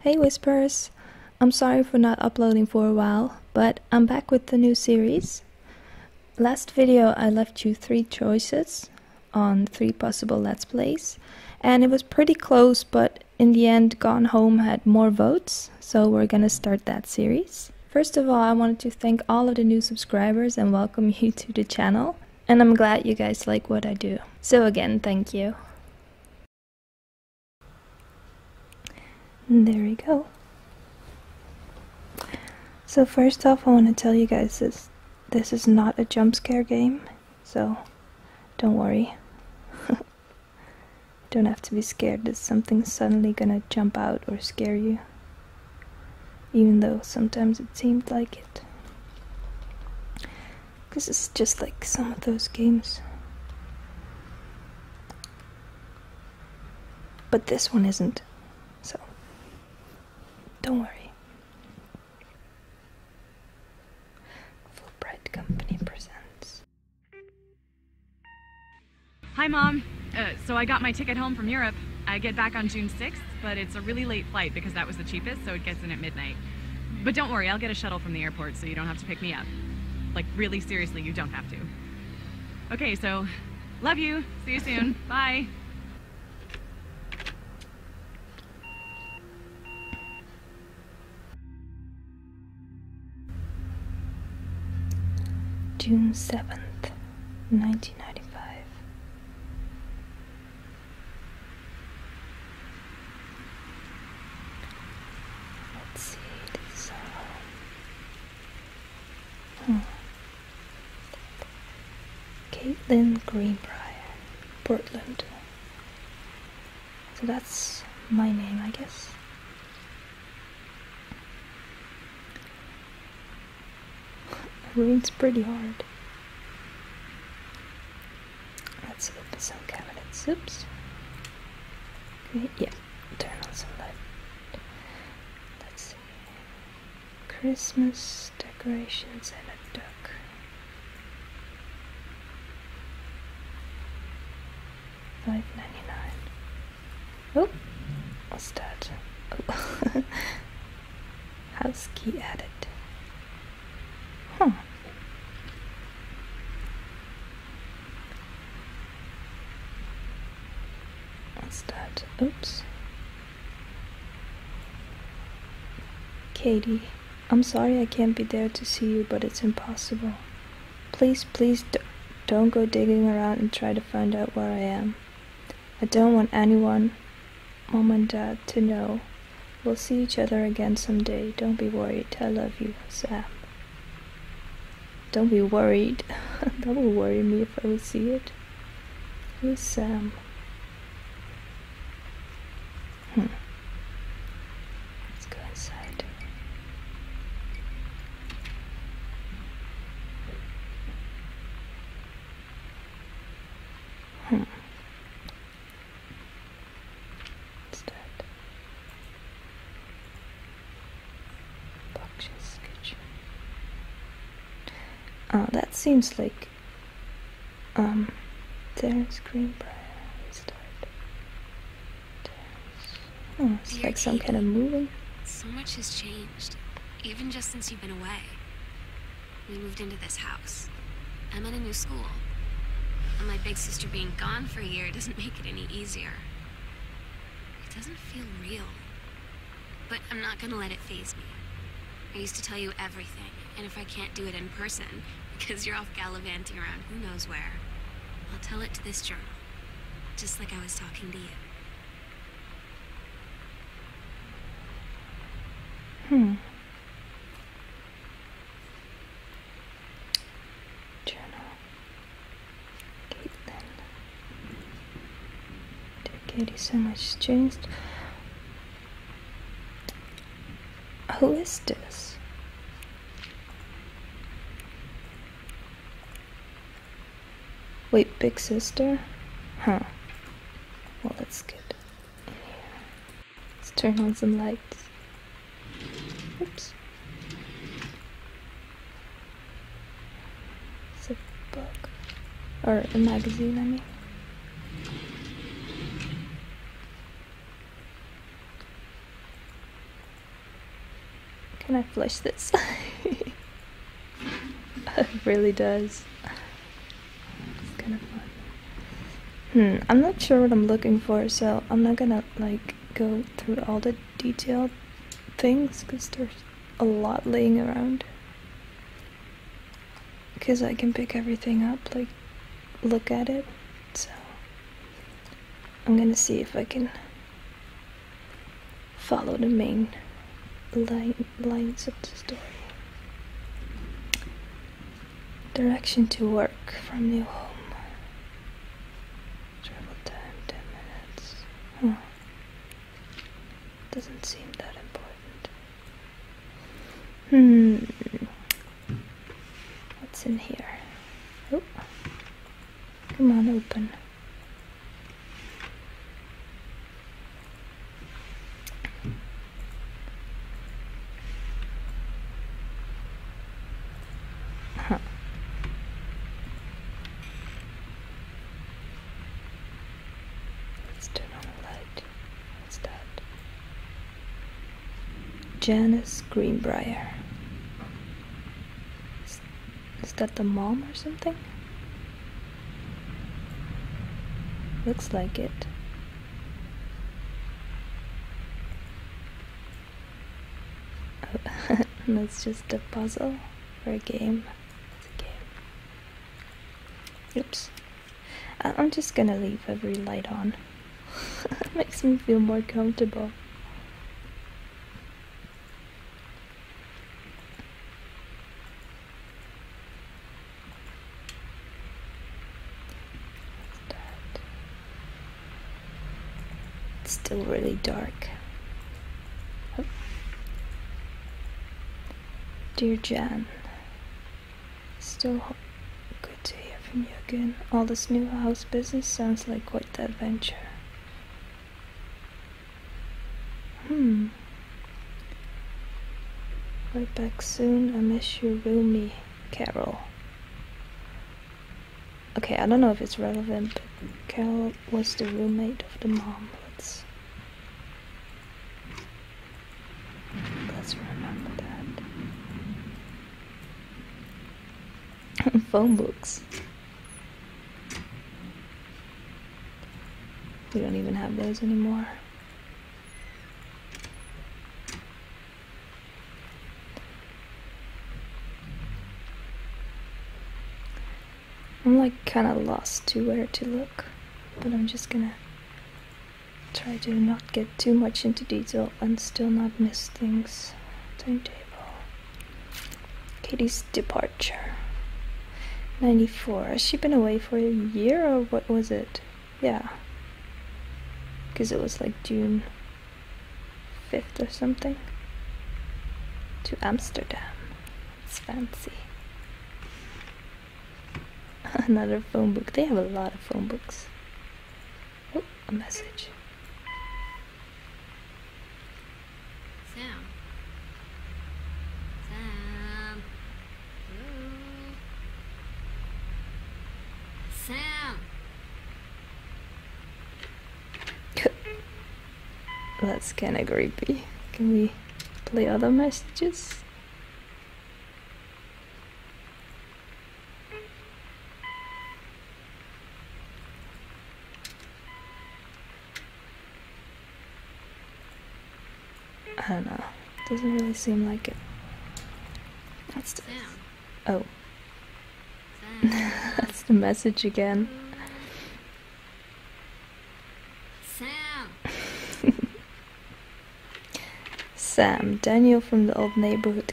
Hey Whispers! I'm sorry for not uploading for a while, but I'm back with the new series. Last video I left you three choices on three possible Let's Plays, and it was pretty close, but in the end, Gone Home had more votes, so we're gonna start that series. First of all, I wanted to thank all of the new subscribers and welcome you to the channel. And I'm glad you guys like what I do. So again, thank you. there we go. So first off, I want to tell you guys this, this is not a jump scare game so don't worry. don't have to be scared that something's suddenly gonna jump out or scare you, even though sometimes it seemed like it. This is just like some of those games. But this one isn't, so don't worry. Fulbright Company presents. Hi, Mom. Uh, so I got my ticket home from Europe. I get back on June 6th, but it's a really late flight because that was the cheapest, so it gets in at midnight. But don't worry, I'll get a shuttle from the airport so you don't have to pick me up. Like, really seriously, you don't have to. Okay, so love you. See you soon. Bye. June 7th, 1995. Let's see, this hmm. Caitlin Greenbrier, Portland. So that's my name, I guess. Ruins pretty hard. Let's open some cabinets. Oops. Okay, yeah, turn on some light. Let's see. Christmas decorations and a duck. Five ninety nine. Oh, what's that? Oh. House key added. Huh. What's that? Oops. Katie. I'm sorry I can't be there to see you, but it's impossible. Please, please don't go digging around and try to find out where I am. I don't want anyone, mom and dad, to know. We'll see each other again someday. Don't be worried. I love you, Sam. Don't be worried. that would worry me if I would see it. Who's Sam? Hmm. Let's go inside. Hmm. What's that? Boxes kitchen. Oh, that seems like um, their screenplay start. Oh, it's like some kind of movie. So much has changed, even just since you've been away. We moved into this house. I'm in a new school. And my big sister being gone for a year doesn't make it any easier. It doesn't feel real. But I'm not gonna let it phase me. I used to tell you everything and if I can't do it in person, because you're off gallivanting around who knows where, I'll tell it to this journal, just like I was talking to you. Hmm. Journal. Caitlin. Dear Katie, so much changed. Who is this? Wait, big sister? Huh. Well, that's good. Let's turn on some lights. Oops. It's a book. Or a magazine, I mean. Can I flush this? it really does. Hmm, I'm not sure what I'm looking for, so I'm not gonna like go through all the detailed things because there's a lot laying around. Because I can pick everything up, like look at it. So I'm gonna see if I can follow the main line, lines of the story. Direction to work from new home. Travel time 10 minutes. Doesn't seem that important. Hmm. What's in here? Oh, come on, open. Huh. Let's on the light. What's that? Janice Greenbrier. Is, that the mom or something? Looks like it. Oh, that's just a puzzle for a game. It's a game. Oops. I'm just gonna leave every light on it makes me feel more comfortable. It's still really dark. Oh. Dear Jan, still Good to hear from you again. All this new house business sounds like quite the adventure. Hmm. Right back soon. I miss you, Rumi. Carol. Okay, I don't know if it's relevant, but Carol was the roommate of the mom. let's remember that. phone books. We don't even have those anymore. I'm like kind of lost to where to look, but I'm just gonna try to not get too much into detail and still not miss things. Timetable. Katie's departure. 94. Has she been away for a year or what was it? Yeah. Because it was like June 5th or something. To Amsterdam. It's fancy. Another phone book. They have a lot of phone books. Oh, a message. Sam. Sam. Hello. Sam. That's kind of creepy. Can we play other messages? I don't know. Doesn't really seem like it. That's the Oh. That's the message again. Sam. Sam, Daniel from the old neighborhood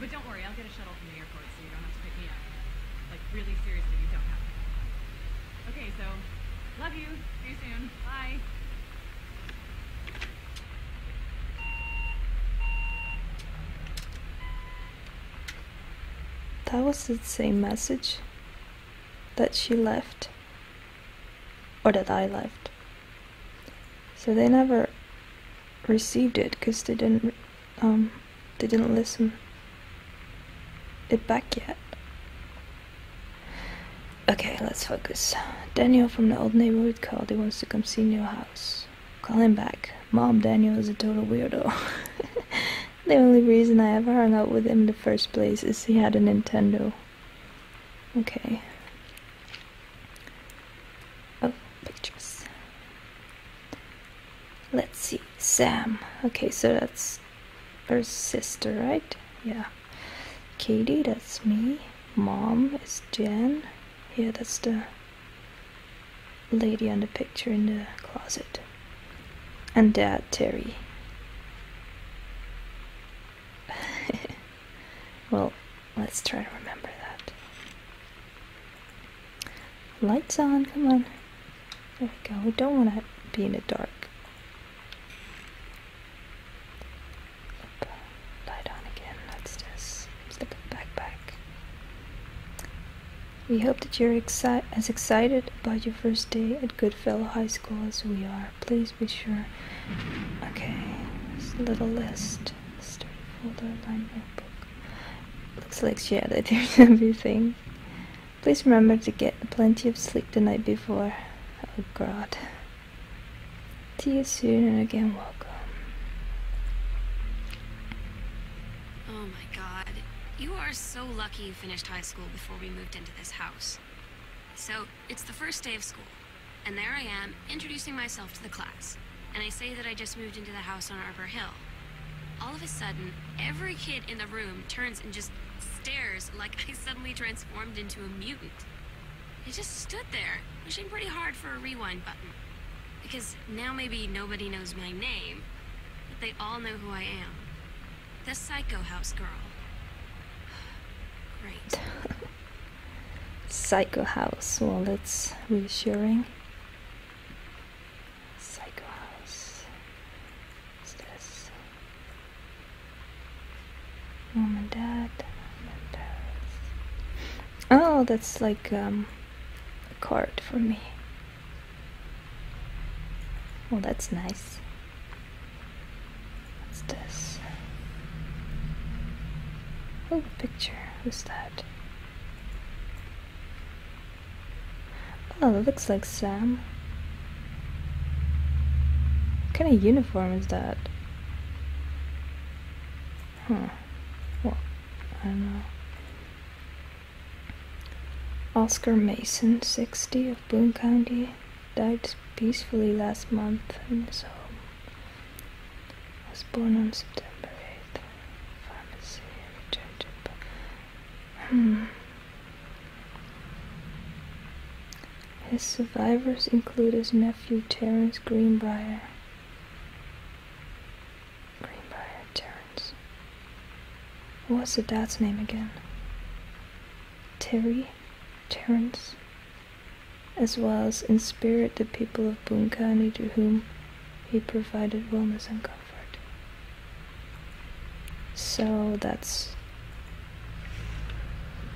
But don't worry, I'll get a shuttle from the airport so you don't have to pick me up. Like, really seriously, you don't have to. Okay, so, love you. See you soon. Bye. That was the same message that she left, or that I left. So they never received it because they didn't um, they didn't listen it back yet. Okay, let's focus. Daniel from the old neighborhood called. He wants to come see your house. Call him back. Mom, Daniel is a total weirdo. the only reason I ever hung out with him in the first place is he had a Nintendo. Okay. Oh, pictures. Let's see. Sam. Okay, so that's her sister, right? Yeah. Katie, that's me. Mom is Jen. Yeah, that's the lady on the picture in the closet. And dad, Terry. well, Let's try to remember that. Lights on, come on. There we go. We don't want to be in the dark. light on again. Let's just stick a backpack. We hope that you're as excited about your first day at Goodfellow High School as we are. Please be sure. Okay, this little list. Story folder, line notebook. Looks like she edited everything. Please remember to get plenty of sleep the night before. Oh god. See you soon and again welcome. Oh my god. You are so lucky you finished high school before we moved into this house. So, it's the first day of school. And there I am, introducing myself to the class. And I say that I just moved into the house on Arbor Hill. All of a sudden, every kid in the room turns and just stares like I suddenly transformed into a mutant. I just stood there, wishing pretty hard for a rewind button. Because now maybe nobody knows my name, but they all know who I am. The Psycho House Girl. Right. Psycho House. Well, that's reassuring. Psycho House. What's this? Mom and Dad. Oh, that's like um, a card for me. Well, that's nice. What's this? Oh, picture. Who's that? Oh, it looks like Sam. What kind of uniform is that? Huh. Well, I don't know. Oscar Mason, 60, of Boone County, died peacefully last month in his home was born on September 8th. Pharmacy returned to hmm. His survivors include his nephew Terrence Greenbrier. Greenbrier Terence. What's the dad's name again? Terry? Terrence as well as in spirit the people of Bunkani to whom he provided wellness and comfort. So that's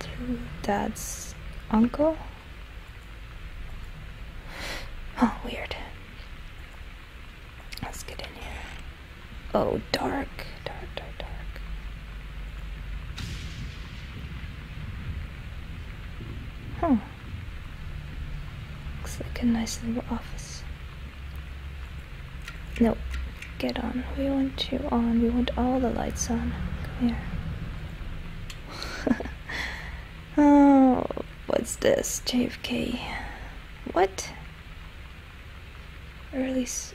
through dad's uncle? Oh, weird. Let's get in here. Oh, dark, dark, dark, dark. Huh. Looks like a nice little office. Nope. get on. We want you on. We want all the lights on. Come here. oh, what's this? JFK. What? Early. S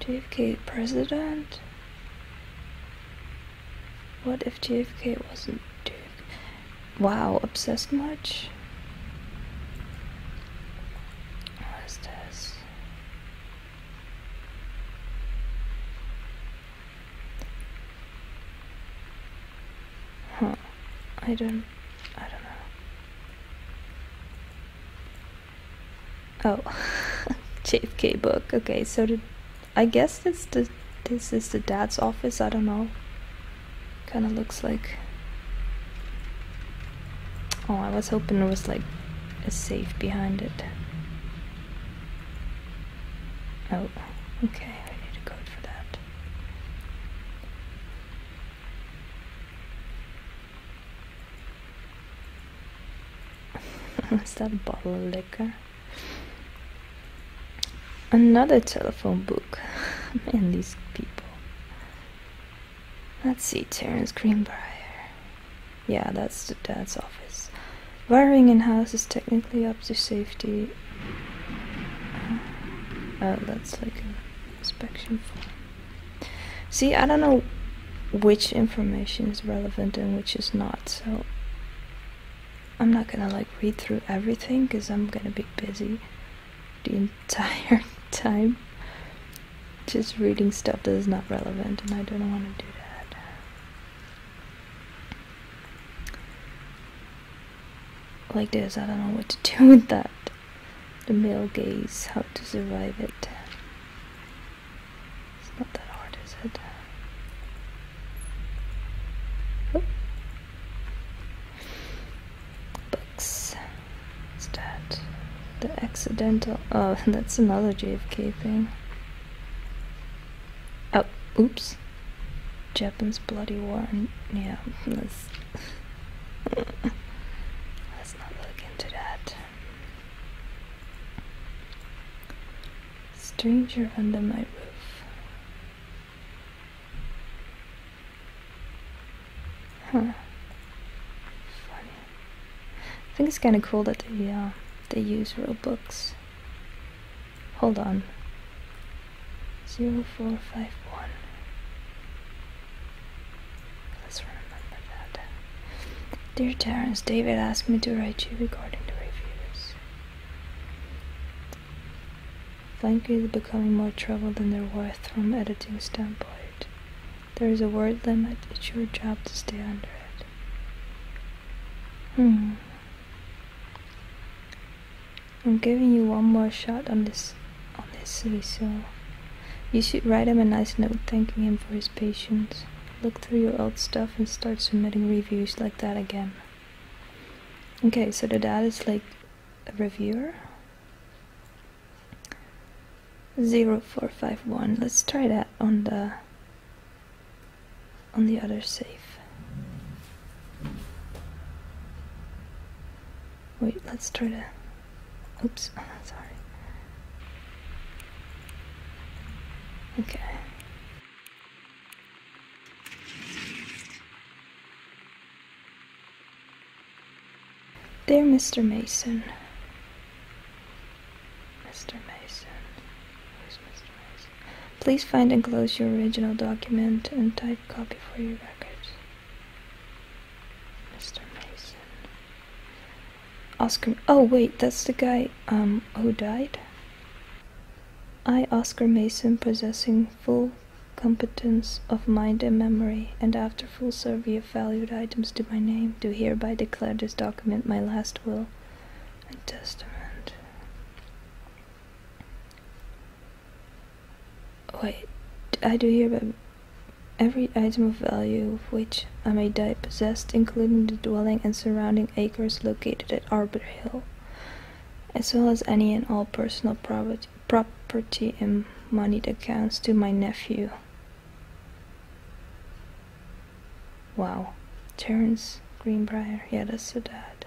JFK president? What if JFK wasn't JFK? Wow, obsessed much? What is this? Huh. I don't... I don't know. Oh, JFK book. Okay, so I guess this the this is the dad's office. I don't know. Kind of looks like. Oh, I was hoping there was like a safe behind it. Oh, okay. I need a code for that is that a bottle of liquor? Another telephone book. Man, these people. Let's see, Terence Greenbrier. Yeah, that's the dad's office. Wiring in house is technically up to safety. Uh, oh, that's like an inspection form. See, I don't know which information is relevant and which is not. So I'm not gonna like read through everything because I'm gonna be busy the entire time just reading stuff that is not relevant and I don't want to do that. Like this, I don't know what to do with that. The male gaze, how to survive it. It's not that hard, is it? Oh. Books. What's that? The accidental. Oh, that's another JFK thing. Oh, oops. Japan's bloody war. Yeah, let's not look into that. Stranger Under My Roof. Huh. Funny. I think it's kind of cool that they, uh, they use real books. Hold on. 0451. Let's remember that. Dear Terence, David asked me to write you regarding the reviews. Frankly, are becoming more trouble than they're worth from editing standpoint. There is a word limit, it's your job to stay under it. Hmm. I'm giving you one more shot on this on this, so you should write him a nice note thanking him for his his patience. Look through your old stuff and start submitting reviews like that again. Okay, so the dad is like a reviewer. Zero let Let's try that on the on the other safe. Wait, let's try the oops, sorry. Okay. There, Mr. Mason, Mr. Mason, who's Mr. Mason? Please find and close your original document and type copy for your records. Mr. Mason. Oscar, oh wait, that's the guy um, who died? I, Oscar Mason, possessing full competence of mind and memory, and after full survey of valued items to my name, do hereby declare this document my last will and testament. Wait, I do hereby every item of value of which I may die possessed, including the dwelling and surrounding acres located at Arbor Hill, as well as any and all personal property and moneyed accounts to my nephew. Wow. Terence Greenbrier, yeah, that's the dad.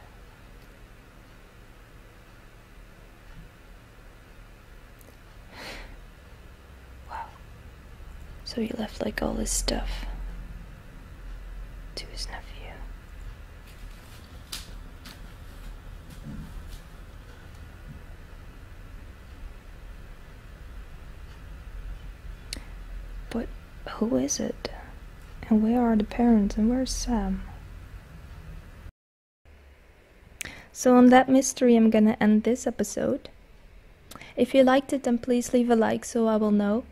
Wow. So he left like all his stuff to his nephew. But who is it? And where are the parents? And where's Sam? So, on that mystery, I'm gonna end this episode. If you liked it, then please leave a like so I will know.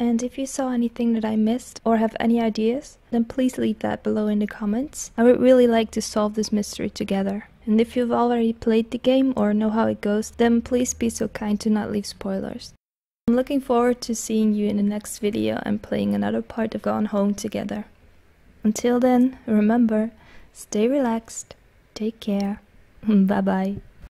And if you saw anything that I missed or have any ideas, then please leave that below in the comments. I would really like to solve this mystery together. And if you've already played the game or know how it goes, then please be so kind to not leave spoilers. I'm looking forward to seeing you in the next video and playing another part of Gone Home together. Until then, remember, stay relaxed, take care, bye bye.